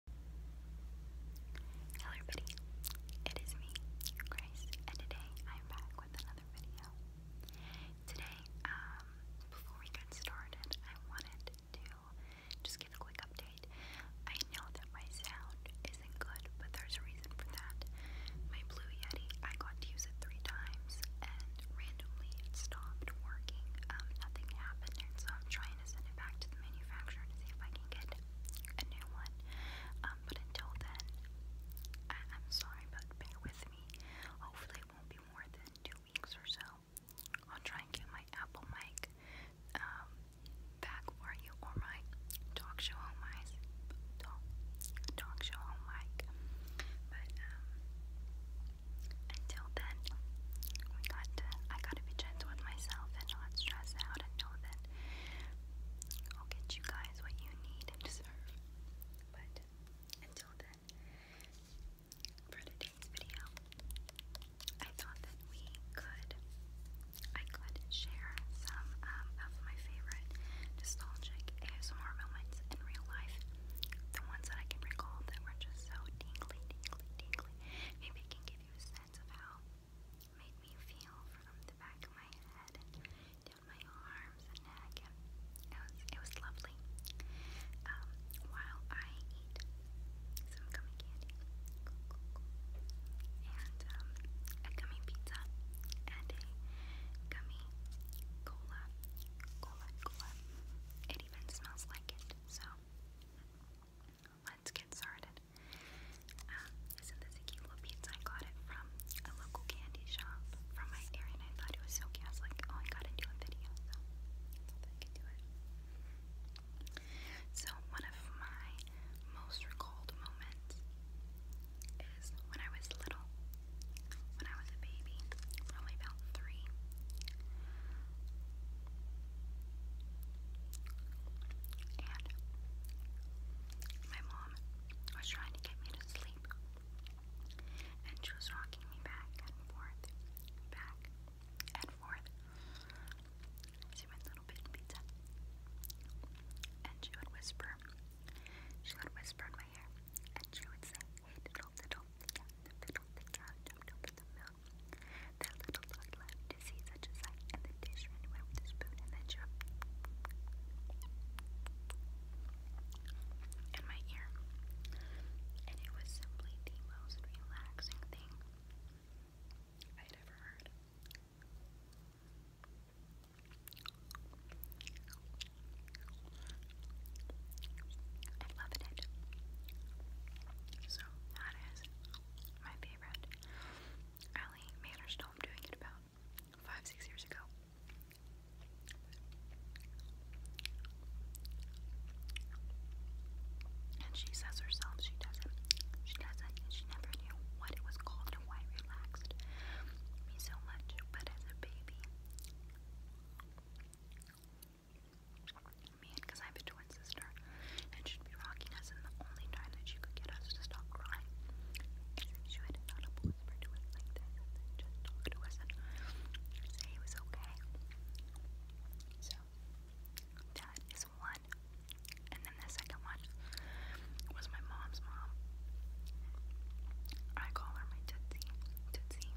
Hello everybody, it is me, Grace, and today I'm back with another video. Today, um, before we get started, I wanted to just give a quick update. I know that my sound isn't good, but there's a reason for that. My Blue Yeti, I got to use it three times, and randomly it stopped working. Um, nothing happened, so I'm trying to send back to the manufacturer to see if I can get a new one. Um, but until then, I am sorry, but bear with me. Hopefully, it won't be more than two weeks or so. I'll try and get my Apple mic um, back for you, or my talk show on my talk, talk show mic. But um, until feel that we to, I got to be gentle with myself and not stress out and know that I'll get you guys what you need and deserve. But until then, for today's video, I thought that we could, I could share some um, of my favorite nostalgic ASMR moments in real life. The ones that I can recall that were just so tingly, tingly, tingly. Maybe I can give few sets of how made me feel from the back of my head down my arms and neck. it was it was lovely. Um, while I eat some gummy candy and um, a gummy pizza and a gummy cola, cola, cola. It even smells like it. So let's get started. Um, is a cute little pizza? I got it from a local candy shop from my area, and I thought it was so cute. I was like, oh, I gotta do a video, So, one of my most recalled moments is when I was little, when I was a baby, probably about three. And my mom was trying to get me to sleep. And she was rocking me back and forth, back and forth. She went little bit pizza. And she would whisper. She would whisper in my ear. And she would say, Hey diddle diddle, diddle, diddle, diddle, diddle, diddle, diddle, Brazil. That little dog loved to see such a sight, and the dish ran away with the spoon and the chirp in my ear. And it was simply the most relaxing thing I'd ever heard. I it. So that is my favorite. Allie Mannerstone doing it about five, six years ago. And she says herself she doesn't, she doesn't, she never knew what it was called and why relaxed me so much. But as a baby, because I have a twin sister, and she'd be rocking us, and the only time that she could get us to stop crying, she would audible whisper to us like this, and then just talk to us say it was okay. So that is one, and then the second one was my mom's mom. I call her my Tootsie, Tootsie,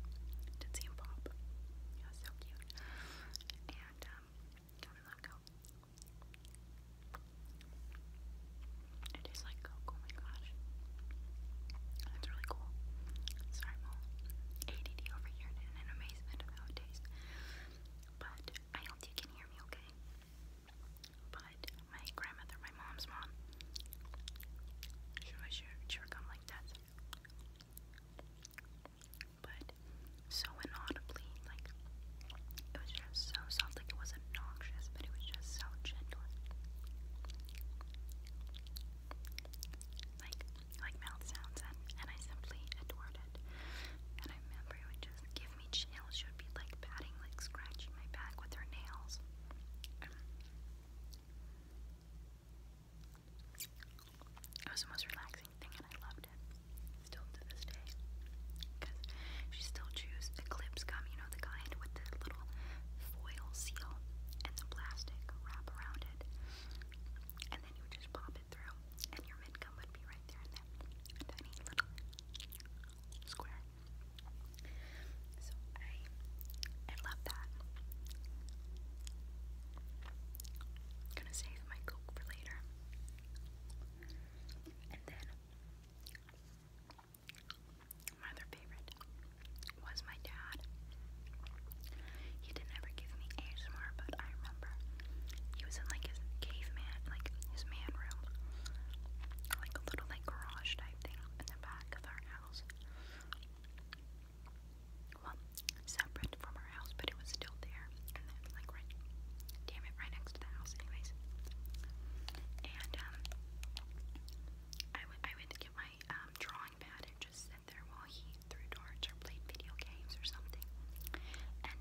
Tootsie and Pop. Yeah, so cute. And um, It is like oh, oh my gosh. That's really cool. Sorry, i ADD over here in amazement of But I hope you can hear me okay. But my grandmother, my mom's mom, she was chewing gum like that but so inaudibly, like it was just so soft, like it wasn't but it was just so gentle. Like like mouth sounds and, and I simply adored it. And I remember it would just give me chills. She would be like patting, like scratching my back with her nails. It was the most relaxing thing, and I loved it. Still to this day, because she still chews the clips gum, you know, the kind with the little foil seal and the plastic wrap around it, and then you just pop it through, and your mint would be right there in that tiny little square. So I, I love that. I'm gonna save my coke for later. And then my other favorite was my dad. He didn't ever give me ASMR, but I remember he was in like his caveman, like his man room, like a little like garage type thing in the back of our house well, separate from our house, but it was still there, and then, like, right, damn it, right next to the house, anyways. And, um, I, I went to get my um, drawing pad and just sat there while he threw darts or played video games or something. And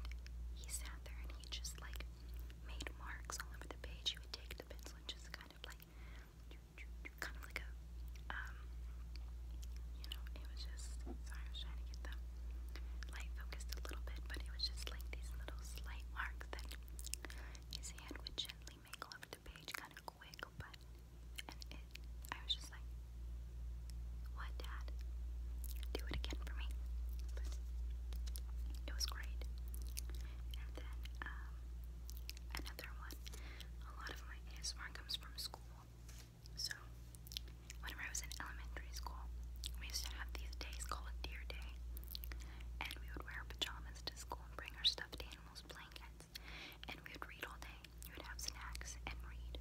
he sat there and he just, like, made marks all over the page. He would take the pencil and just kind of, like, kind of like a, um, you know, it was just, sorry, I was trying to get the light focused a little bit, but it was just like these little slight marks that his hand would gently make over the page, kind of quick, but, and I was just like, what, Dad? Do it again for me. it was great. And then, um, another one. A lot of them doing ASMR comes from school. So, whenever I was in elementary school, we used to have these days called Deer Day. And we would wear pajamas to school and bring our stuffed animals, blankets, and we would read all day. We would have snacks and read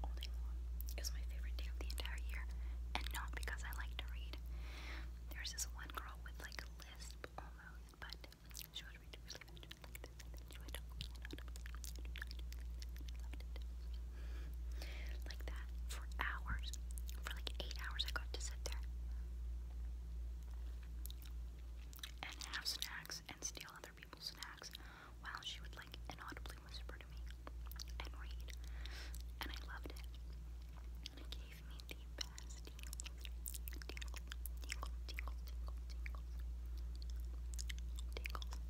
all day long. It was my favorite day of the entire year, and not because I like to read. There's this one girl with like a lisp almost, but she Like that for hours. For like eight hours, I got to sit there and have snacks and steal other people's snacks while she would like inaudibly whisper to me and read. And I loved it. And it gave me the best tingles. Tingle, tingle, tingle, tingle, tingles. Tingles.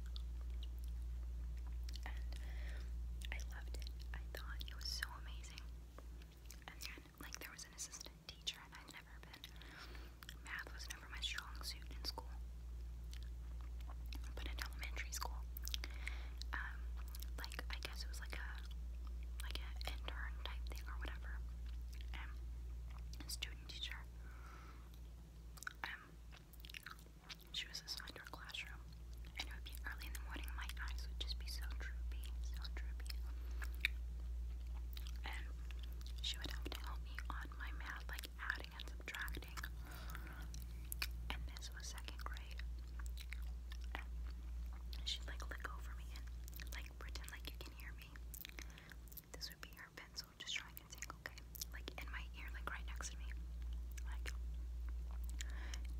And I loved it. I thought it was so amazing. And then, like, there was an assistant teacher, and I'd never been. Math was never my strong suit in school. But in elementary school, um, like I guess it was like a like an intern type thing or whatever um, student teacher. Um, she was assigned to our classroom, and it would be early in the morning. My eyes would just be so droopy, so droopy. And she would have to help me on my math, like adding and subtracting. And this was second grade. And she'd like look over me and like pretend like you can hear me. This would be your pencil just trying to think, okay? Like in my ear, like right next to me. Like,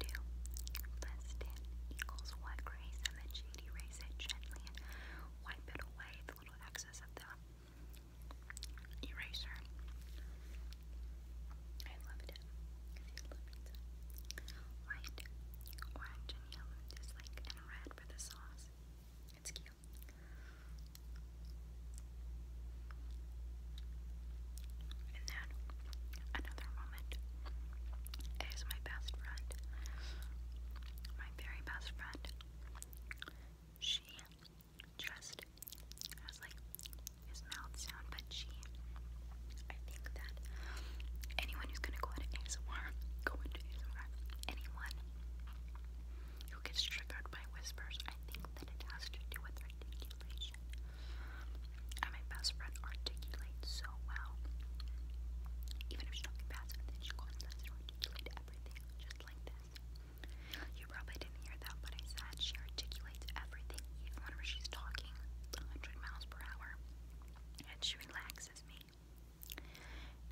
2 plus equals what, Grace? And then she'd it gently and wipe it away, the little excess of the eraser. I loved it. I loved and then another moment is my best friend. My very best friend. She just has like his mouth sound, but she I think that anyone who's gonna go into ASMR, go into ASMR, anyone who gets triggered by whispers, I think that it has to do with articulation. And my best friend articulates so well. Even if she's talking fast, and then she goes and says everything just like this. You probably didn't hear that, but I said she articulates everything, even whenever she's talking 100 miles per hour and she relaxes me.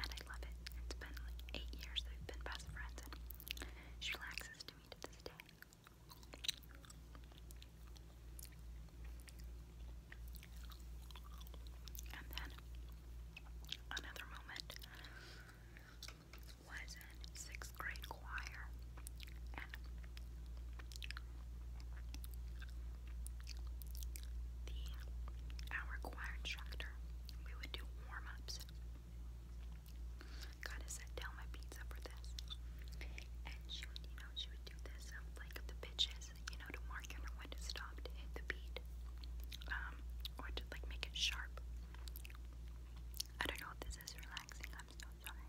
And I love it. It's been like eight years that we've been best friends, and she relaxes to me to this day. And then another moment was in sixth grade choir, our choir instructor, we would do warm-ups. Gotta set down my pizza for this. And she would, you know, she would do this um, like the pitches, you know, to mark when to stopped to the beat. Um, or to like make it sharp. I don't know if this is relaxing, I'm so sorry.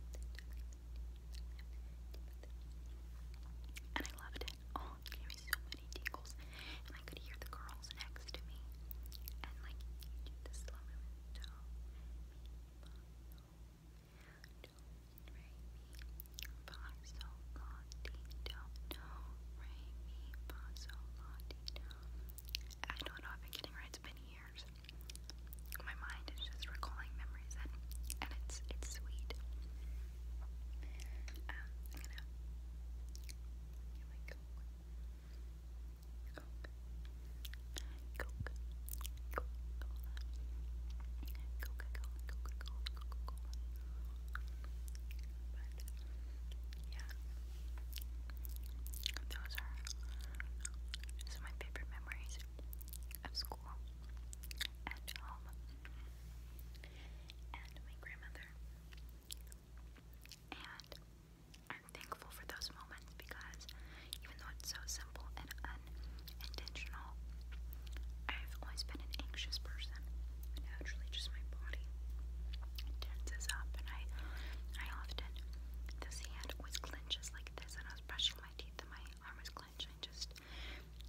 and I loved it. Oh, it gave me so many tingles. And I could hear the girls next to me. And like I don't know if I'm getting right. It's been years my mind is just recalling memories and and it's it's sweet. Um, I'm gonna Coke. Coke. Coke. Coca-Cola. Coca-Cola. Coca-Cola. Coca-Cola. But yeah, those are some of my favorite memories of school and home and my grandmother. And I'm thankful for those moments because even though it's so simple and unintentional, I've always been an anxious person. Naturally, just my body tenses up, and I, I often, this hand was clenched just like this, and I was brushing my teeth, and my arm was clenched. I just,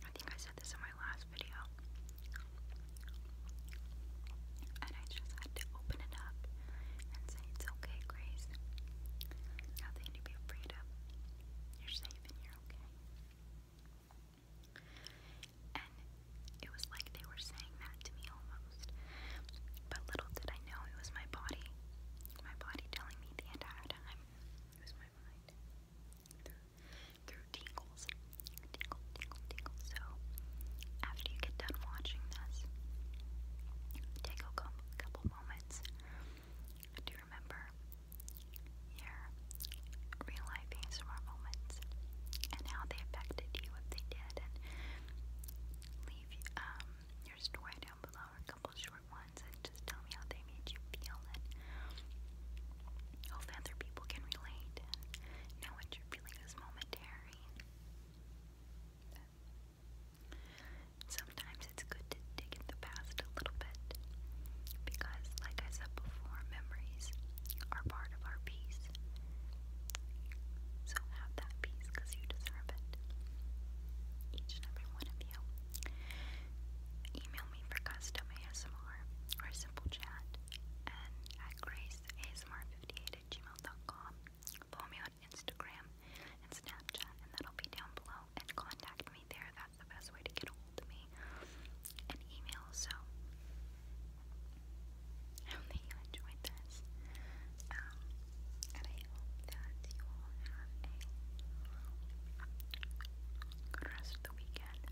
I think I said this in my last video, and I just had to open it up and say, It's okay, Grace. Nothing to be afraid of. You're safe and you're okay. And it was like they were saying that to me almost. Oh closed. But little did I know it was my body, my body telling me the entire time. It was my mind through, tingles, tingle, tingle, tingle. So after you get done watching this, take a couple moments to remember your real life ASMR moments and how they affected you if they did, and leave um, your story down below, a couple short ones, and just tell me how they made you feel, and hopefully other people can relate and what you're feeling is momentary. sometimes it's good to dig in the past a little bit, because, like I said before, memories are part of our peace. So have that peace because you deserve it. Each and every one of you. Email me for custom ASMR or simple chat and at graceasmr58 Follow me on Instagram and Snapchat, and that'll be down below. And contact me there. That's the best way to get a hold of me. And email. So I hope that you enjoyed this. Um, and I hope that you all have a good rest of the weekend.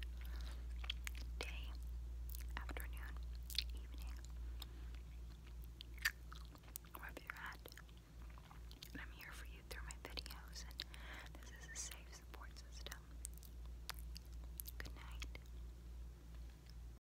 Day, afternoon, evening. Wherever you're at. And I'm here for you through my videos and this is a safe support system. Good night.